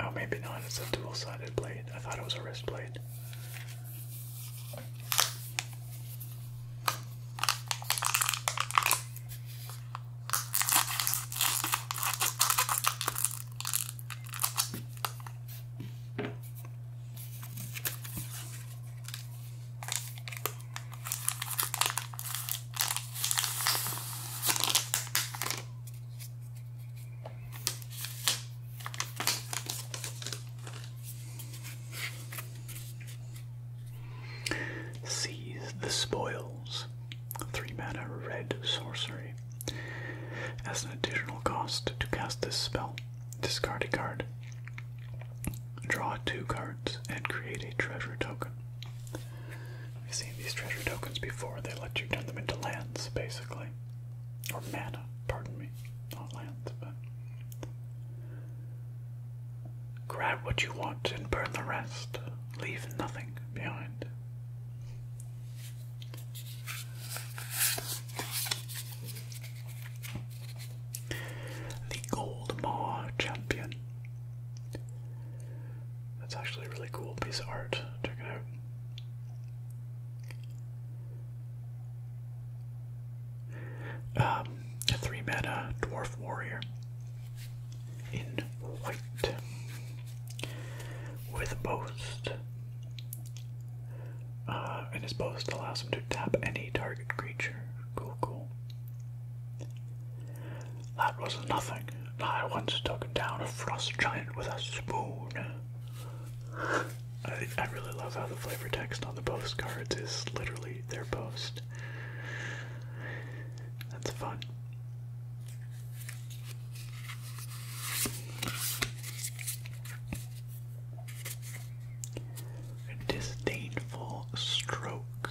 Oh, maybe not. It's a dual-sided blade. I thought it was a wrist blade. Seize the Spoils, 3 mana red sorcery. As an additional cost to cast this spell, discard a card. Draw two cards and create a treasure token. I've seen these treasure tokens before. They let you turn them into lands, basically. Or mana, pardon me. Not lands, but. Grab what you want and burn the rest. Leave nothing behind. The Gold Maw Champion. That's actually a really cool piece of art. Check it out. Um, a three mana dwarf warrior in white with boast. Uh, and his boast allows him to tap any target creature. Cool, cool. That was nothing. I once took down a frost giant with a spoon. I, really love how the flavor text on the postcards is literally their post. That's fun. A disdainful stroke.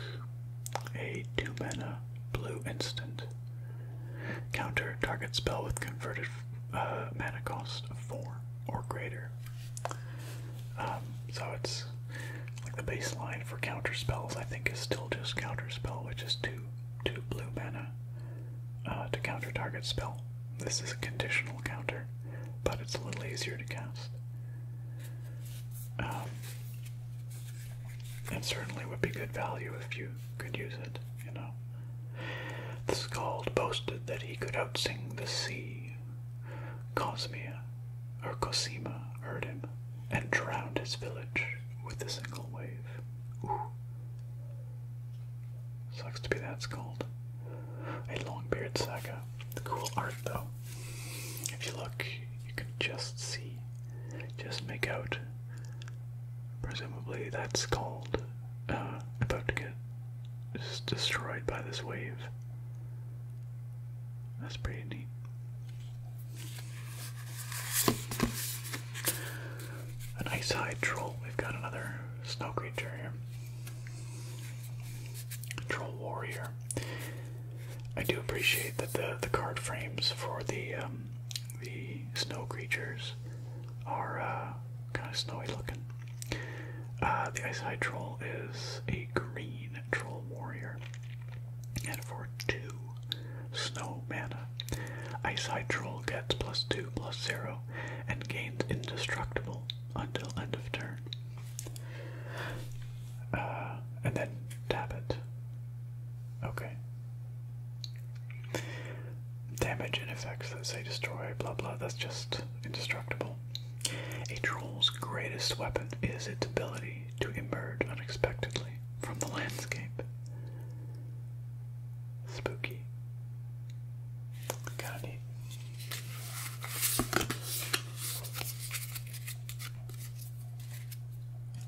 A two mana blue instant. Counter target spell with converted uh, mana cost of 4 or greater. Um, so it's like the baseline for counter spells, I think, is still just counter spell, which is 2, two blue mana uh, to counter target spell. This is a conditional counter, but it's a little easier to cast. Um, and certainly would be good value if you could use it You know. The Skald boasted that he could outsing the sea. Cosmia, or Cosima, heard him and drowned his village with a single wave. Sucks to be that Skald. A Longbeard Saga. The cool art, though. If you look, you can just see, just make out Presumably that's called uh, about to get destroyed by this wave. That's pretty neat. A nice hide troll. We've got another snow creature here. Troll warrior. I do appreciate that the the card frames for the um, the snow creatures are uh, kind of snowy looking. Uh, the Ice High Troll is a green troll warrior, and for two snow mana, Ice High Troll gets plus two plus zero and gains indestructible until end of turn. Uh, and then tap it. Okay, Damage and effects that say destroy, blah blah, that's just indestructible. A troll's greatest weapon is its ability to emerge unexpectedly from the landscape. Spooky. Kinda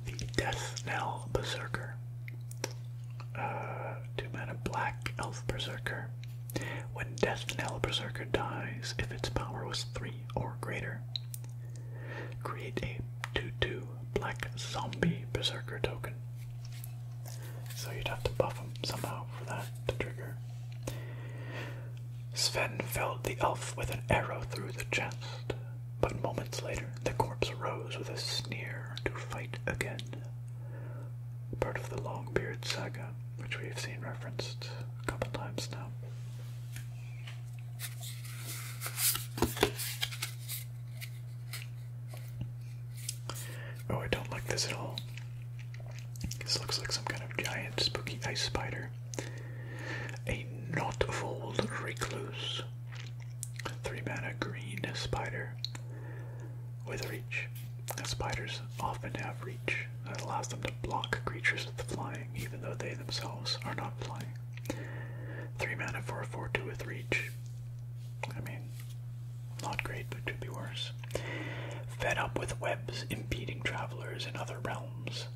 the Death Knell Berserker, uh, two mana black elf berserker. When Death Knell Berserker dies, if its power was three or greater, create a 2-2 black zombie berserker token. So you'd have to buff them somehow for that to trigger. Sven felled the elf with an arrow through the chest. But moments later, the corpse rose with a sneer to fight again. Part of the Longbeard saga, which we've seen referenced a couple times now. Oh, I don't like this at all. This looks like some kind of giant spooky ice spider. A knotfold recluse Three mana green spider with reach. Spiders often have reach that allows them to block creatures with flying, even though they themselves are not flying. Three mana for a four two with reach. I mean, not great, but could be worse. Fed up with webs impeding travelers in other realms.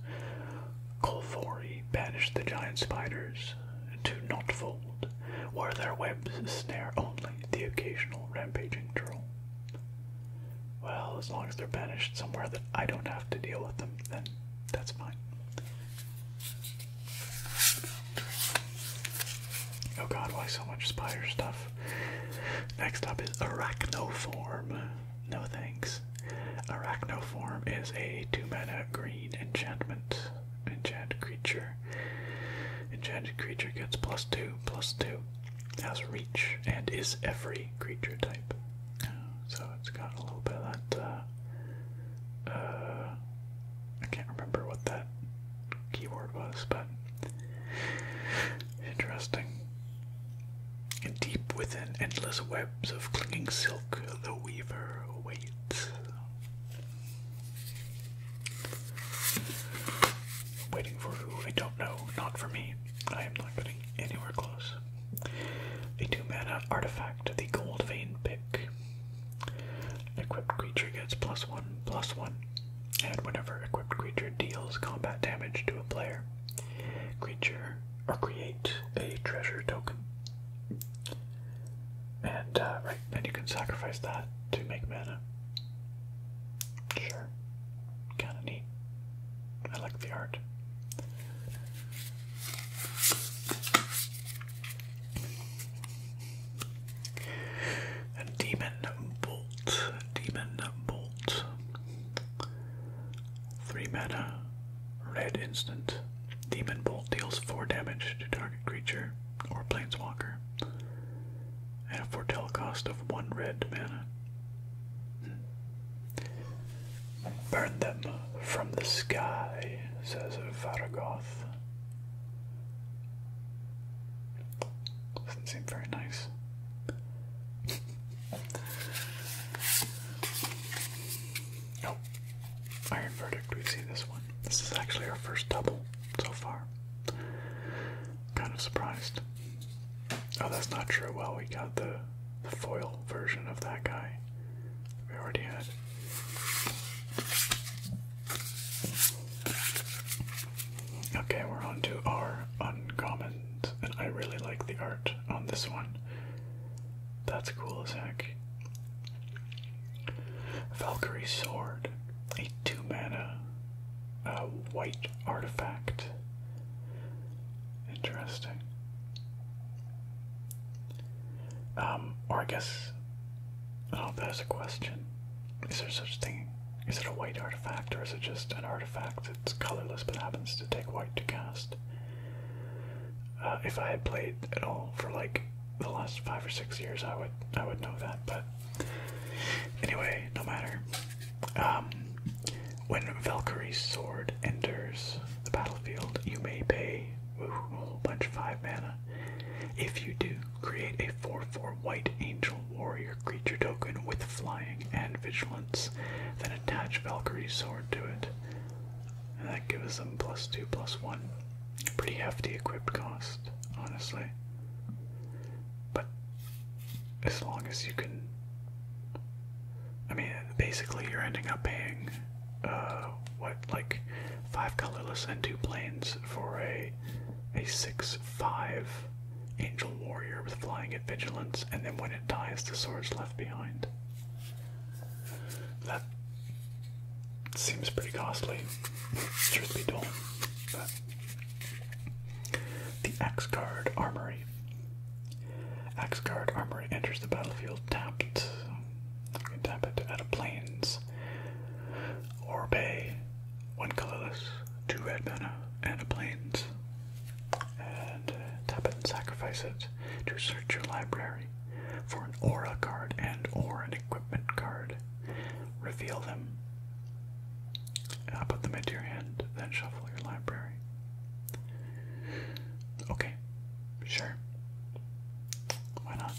Colvori banished the giant spiders to not fold, where their webs snare only the occasional rampaging troll. Well, as long as they're banished somewhere that I don't have to deal with them, then that's fine. Oh god, why so much spider stuff? Next up is Arachnoform. No thanks. Arachnoform is a 2 mana green enchantment enchanted creature. Enchanted creature gets plus two, plus two, has reach, and is every creature type. So it's got a little bit of that. Uh, uh, I can't remember what that keyword was, but interesting. And deep within endless webs of clinging silk, the weaver waits waiting for who? I don't know. Not for me. I am not getting anywhere close. A two mana artifact, the Gold Vein Pick. Equipped creature gets plus one, plus one, and whenever equipped creature deals combat damage to a player, creature or create a treasure token. And uh, right, then you can sacrifice that to make mana. Sure, kind of neat. I like the art. A demon bolt. Demon bolt. Three mana. Red instant. Demon Bolt deals 4 damage to target creature or planeswalker at a foretell cost of 1 red mana. Burn them from the sky, says Varagoth. Doesn't seem very nice. Oh, Iron Verdict, we see this one. This is actually our first double so far. Kind of surprised. Oh, that's not true. Well, we got the, the foil version of that guy we already had. Okay, we're on to our uncommons, and I really like the art on this one. That's cool as heck. Valkyrie Sword, a 2 mana uh, white artifact. Interesting. Um, or I guess, I don't know if that is a question. Is there such thing? Is it a white artifact, or is it just an artifact that's colorless but happens to take white to cast? Uh, if I had played at all for like the last five or six years, I would I would know that. But anyway, no matter. Um, when Valkyrie's sword enters the battlefield, you may pay a whole bunch of five mana. If you do, create a 4-4 white angel warrior creature token with flying and vigilance, then attach Valkyrie's sword to it. And that gives them plus two, plus one. Pretty hefty equipped cost, honestly. But as long as you can. I mean, basically, you're ending up paying, uh, what, like five colorless and two planes for a a six five angel warrior with flying at vigilance, and then when it dies, the sword's left behind. That seems pretty costly, truth be told. But the Axe Guard Armory. Axe Guard Armory enters the battlefield tapped. You can tap it out of planes or bay. One colorless, two red mana, and a planes. And uh, tap it and sacrifice it to search your library for an aura card and or an equipment card. Reveal them. Uh, put them into your hand, then shuffle your library. Okay, sure. Why not?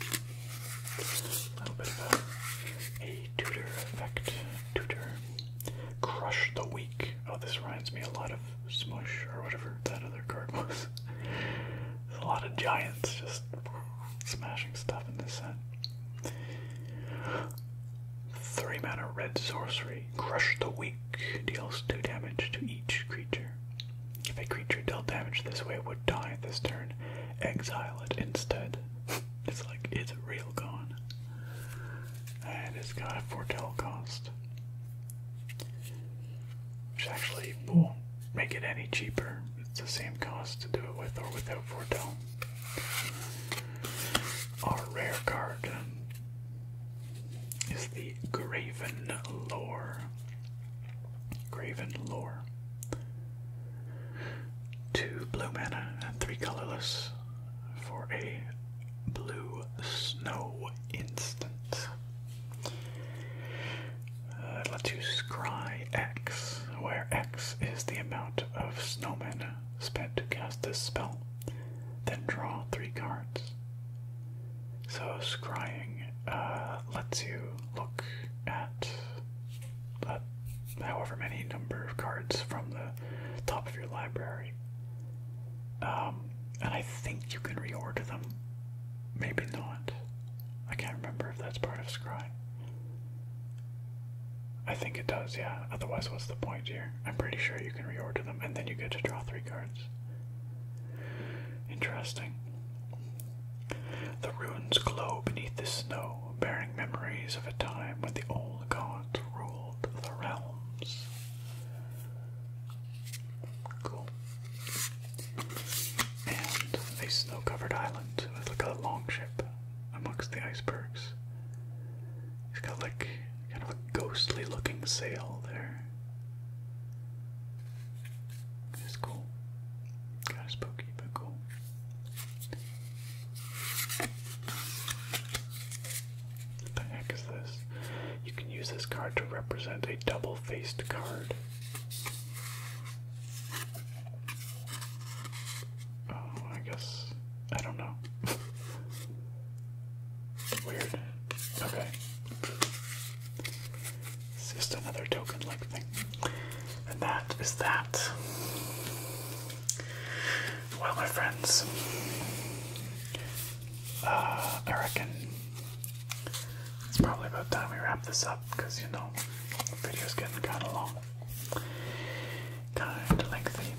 A little bit of a tutor effect. Tutor. Crush the weak. Oh, this reminds me a lot of Smush or whatever that other card <laughs> was. There's a lot of giants just smashing stuff in this set. Three mana red sorcery. Crush the weak. Deals two damage to each creature. If a creature dealt damage this way, would die this turn. Exile it instead. <laughs> It's like it's real gone. And it's got a foretell cost. Which actually won't make it any cheaper. It's the same cost to do it with or without Fortel. Our rare card is the Graven Lore. Graven Lore. Two blue mana and three colorless for a blue snow instant. Uh, let's use scry X, where X is the amount of snowmen spent to cast this spell. Then draw three cards. So scrying uh, lets you look at uh, however many number of cards from the top of your library. Um, and I think you can reorder them Maybe not. I can't remember if that's part of Scribe. I think it does, yeah. Otherwise, what's the point here? I'm pretty sure you can reorder them and then you get to draw three cards. Interesting. The ruins glow beneath the snow, bearing memories of a time when the old gods ruled the realms. Cool and a snow covered island with like a long ship amongst the icebergs. It's got like kind of a ghostly looking sail there. It's cool. Kind of spooky, but cool. What the heck is this? You can use this card to represent a double faced card. Oh, I guess I don't know. Weird. Okay. It's just another token like thing. And that is that. Well, my friends, uh, I reckon it's probably about time we wrap this up because you know the video's getting kind of long, kind lengthy.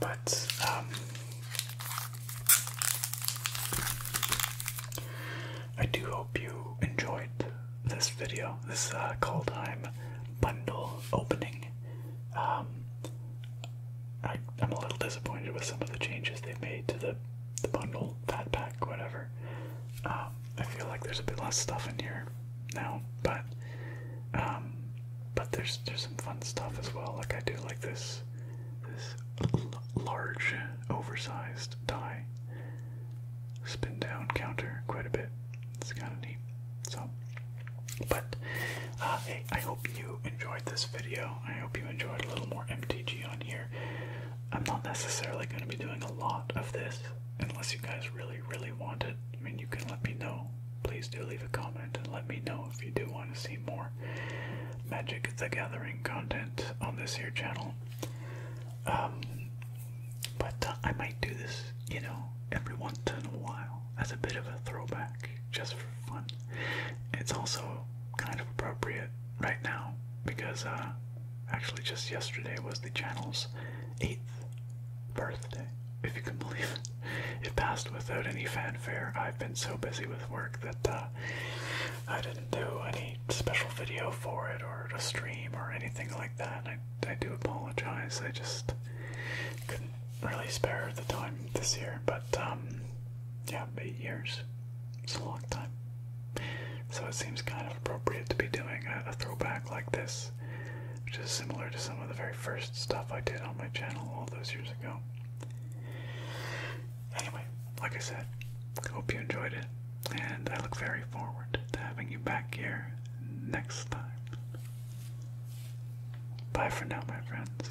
But um, I do hope you enjoyed this video, this uh, call time bundle opening. Um, I, am a little disappointed with some of the changes they've made to the the bundle, fat pack, whatever. Um, I feel like there's a bit less stuff in here now, but um, but there's there's some fun stuff as well. Like I do like this this large, oversized die spin down counter quite a bit. It's kind of neat. So, but uh, I hope you enjoyed this video. I hope you enjoyed a little more MTG on here. I'm not necessarily going to be doing a lot of this unless you guys really, really want it. I mean, you can let me know. Please do leave a comment and let me know if you do want to see more Magic the Gathering content on this here channel. Um, but uh, I might do this, you know, every once in a while as a bit of a throwback just for fun. It's also kind of appropriate right now because uh, actually just yesterday was the channel's eighth birthday. If you can <laughs> believe it, it passed without any fanfare. I've been so busy with work that uh, I didn't do any special video for it or a stream or anything like that. I I do apologize. I just couldn't really spare the time this year. But um, yeah, eight years. It's a long time. So it seems kind of appropriate to be doing a, throwback like this, which is similar to some of the very first stuff I did on my channel all those years ago. Anyway, like I said, hope you enjoyed it, and I look very forward to having you back here next time. Bye for now, my friends.